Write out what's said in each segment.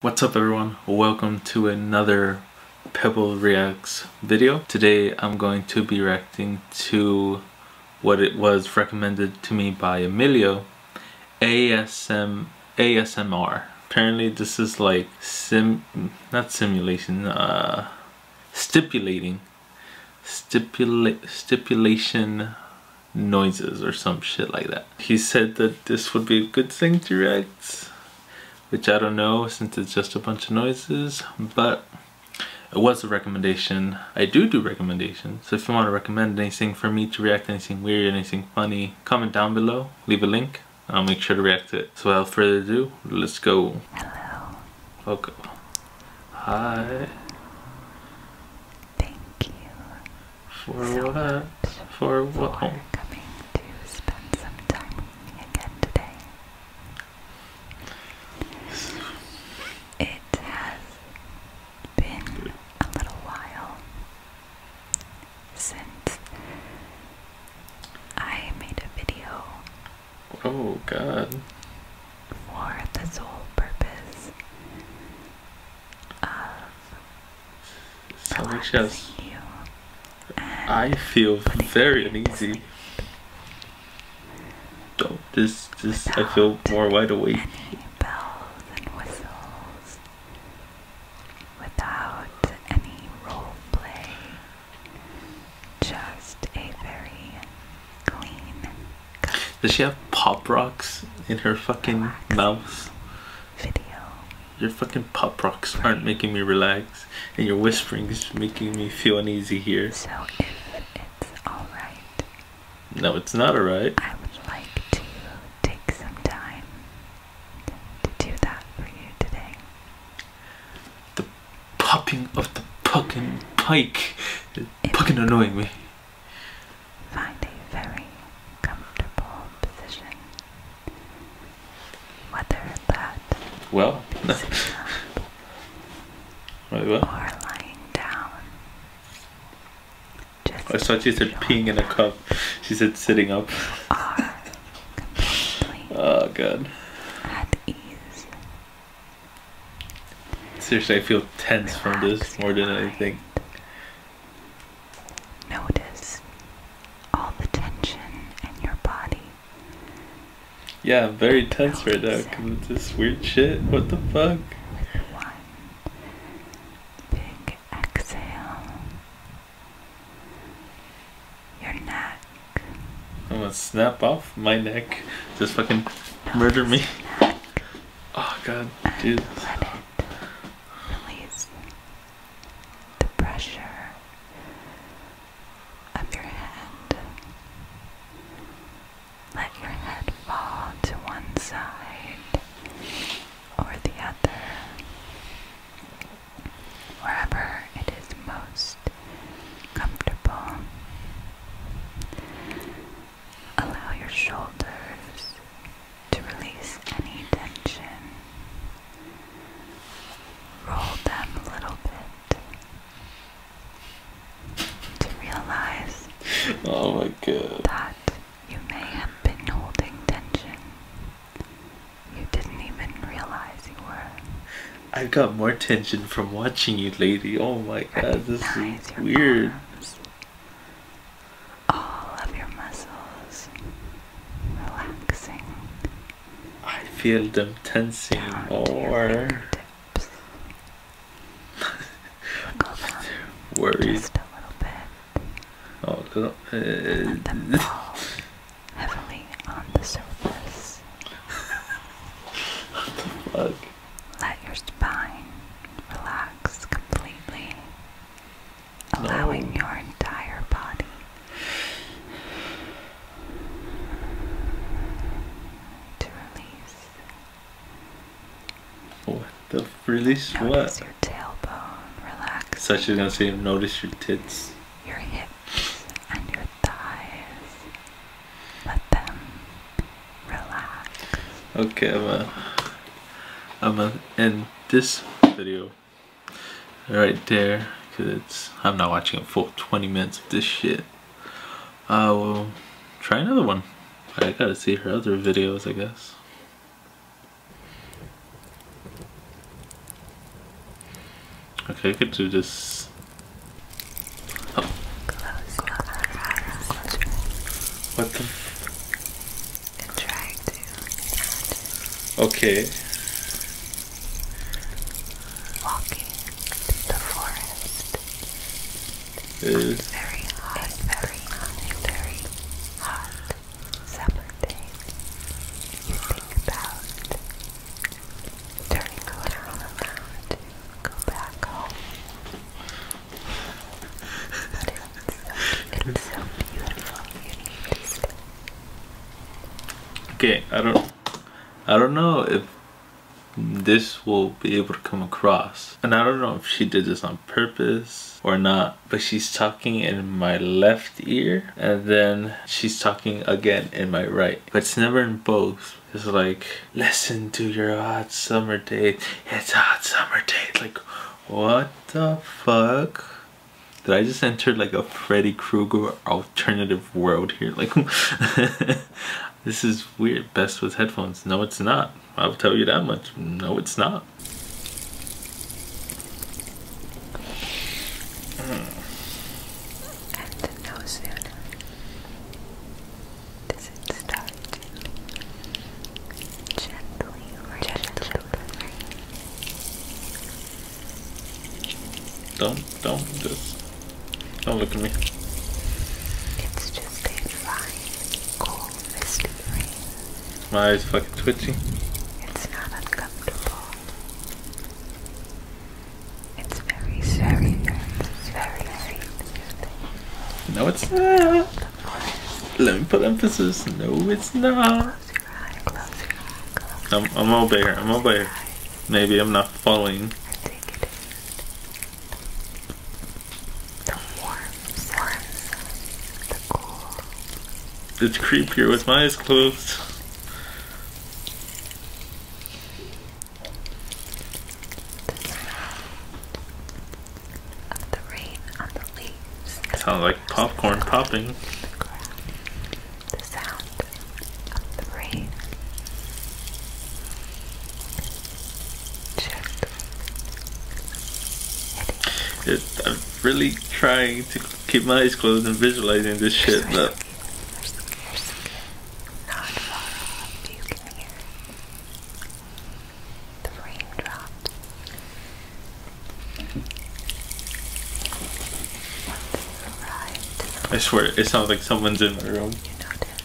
What's up everyone? Welcome to another Pebble Reacts video. Today I'm going to be reacting to what it was recommended to me by Emilio, ASM, ASMR. Apparently this is like sim, not simulation, uh, stipulating, stipula stipulation noises or some shit like that. He said that this would be a good thing to react which I don't know since it's just a bunch of noises but it was a recommendation I do do recommendations so if you want to recommend anything for me to react anything weird anything funny comment down below leave a link I'll make sure to react to it so without further ado let's go hello okay hi thank you for what? for what? It has been a little while since I made a video. Oh, God. For the sole purpose of Alicia's. I feel very uneasy. Oh, this, this, I feel more wide awake. Does she have pop rocks in her fucking mouth? video. Your fucking pop rocks aren't making me relax, and your whispering is making me feel uneasy here. So it's alright. No, it's not alright. I would like to take some time to do that for you today. The popping of the fucking pike is fucking annoying me. Find a very comfortable position. Whether that well, Wait, what? or lying down. I saw she said peeing in a cup. She said sitting up. oh god. Seriously, I feel tense from this more than anything. Notice all the tension in your body. Yeah, I'm very tense right now because of this weird shit. What the fuck? big exhale. Your neck. I'm gonna snap off my neck. Just fucking murder me. Oh god, dude the pressure of your head. Let your head fall to one side or the other, wherever it is most comfortable. Allow your shoulders to release any tension. Roll them a little bit to realize oh that you may have been holding tension. You didn't even realize you were. I got more tension from watching you, lady. Oh my God, this is weird all of your muscles relaxing. I feel them tensing more. Worried. Oh, no. Uh, on the surface. what the fuck? Let your spine relax completely allowing your entire body to release. What the release? Notice what? your tailbone relax. Such as gonna say, notice your tits. Your hips and your thighs. Let them relax. Okay, i I'm gonna end this video right there because it's I'm not watching a full 20 minutes of this shit I will try another one I gotta see her other videos I guess okay I could do this what the okay walking through the forest uh, very hot, very hot, very hot summer day you think about turning around around go back home but it's so, beautiful you need Okay, I don't I don't know if this will be able to come across. And I don't know if she did this on purpose or not, but she's talking in my left ear and then she's talking again in my right. But it's never in both. It's like, listen to your hot summer day. It's hot summer day. Like, what the fuck? Did I just enter like a Freddy Krueger alternative world here? Like, this is weird. Best with headphones. No, it's not. I'll tell you that much. No, it's not. Hmm. Don't, don't, just, don't look at me. It's just a fine, cool, misty rain. My eyes fucking twitchy. It's not uncomfortable. It's very, very, very, very soothing. No, it's not. Let me put emphasis. No, it's not. I'm, over here. I'm over here. Maybe I'm not falling. it is. creepier with my eyes closed. Sounds like popcorn popping. The sound of the rain. It, I'm really trying to keep my eyes closed and visualizing this shit, but. I swear, it sounds like someone's in my room. You notice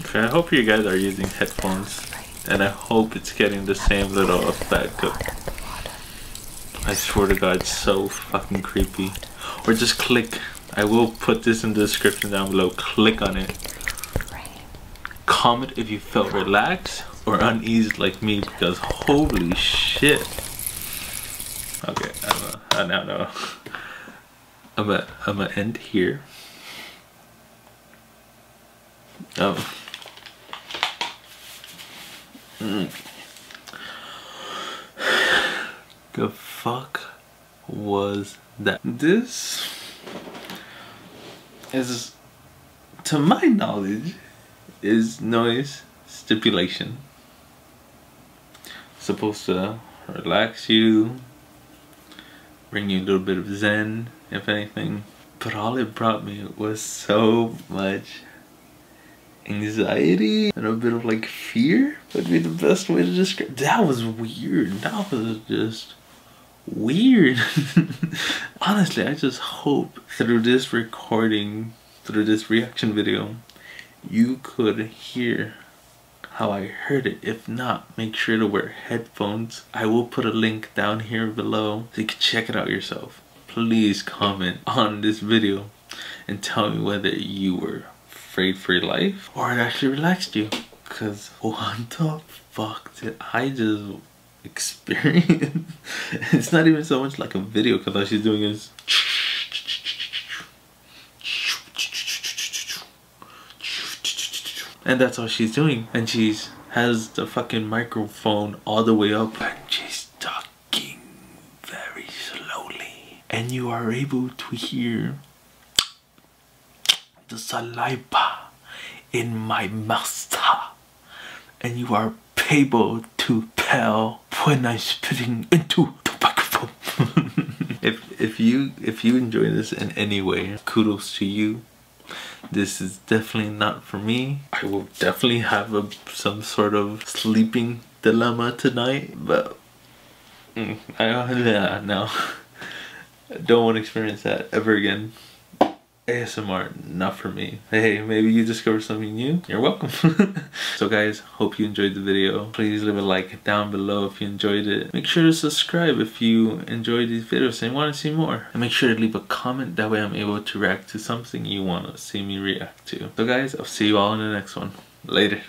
Okay, I hope you guys are using headphones, and I hope it's getting the same little effect. I swear to God, it's so fucking creepy. Or just click. I will put this in the description down below. Click on it. Comment if you felt relaxed or uneasy like me because holy shit. Okay, I'm a, I now know. I'm gonna am going end here. Oh. The mm. fuck was that. This is, to my knowledge, is noise stipulation. supposed to relax you, bring you a little bit of zen, if anything. But all it brought me was so much anxiety and a bit of like fear would be the best way to describe. That was weird. That was just weird. Honestly, I just hope through this recording, through this reaction video, you could hear how I heard it. If not, make sure to wear headphones. I will put a link down here below so you can check it out yourself. Please comment on this video and tell me whether you were afraid for your life or it actually relaxed you because what the fuck did I just experience? it's not even so much like a video because all she's doing is and that's all she's doing and she's has the fucking microphone all the way up and she's talking very slowly and you are able to hear the saliva in my mouth and you are able to tell when I'm spitting into the microphone. if if you if you enjoy this in any way, kudos to you. This is definitely not for me. I will definitely have a, some sort of sleeping dilemma tonight, but mm, I don't, yeah, no. don't want to experience that ever again. ASMR, not for me. Hey, maybe you discover something new. You're welcome. so guys, hope you enjoyed the video. Please leave a like down below if you enjoyed it. Make sure to subscribe if you enjoy these videos and want to see more. And make sure to leave a comment, that way I'm able to react to something you want to see me react to. So guys, I'll see you all in the next one. Later.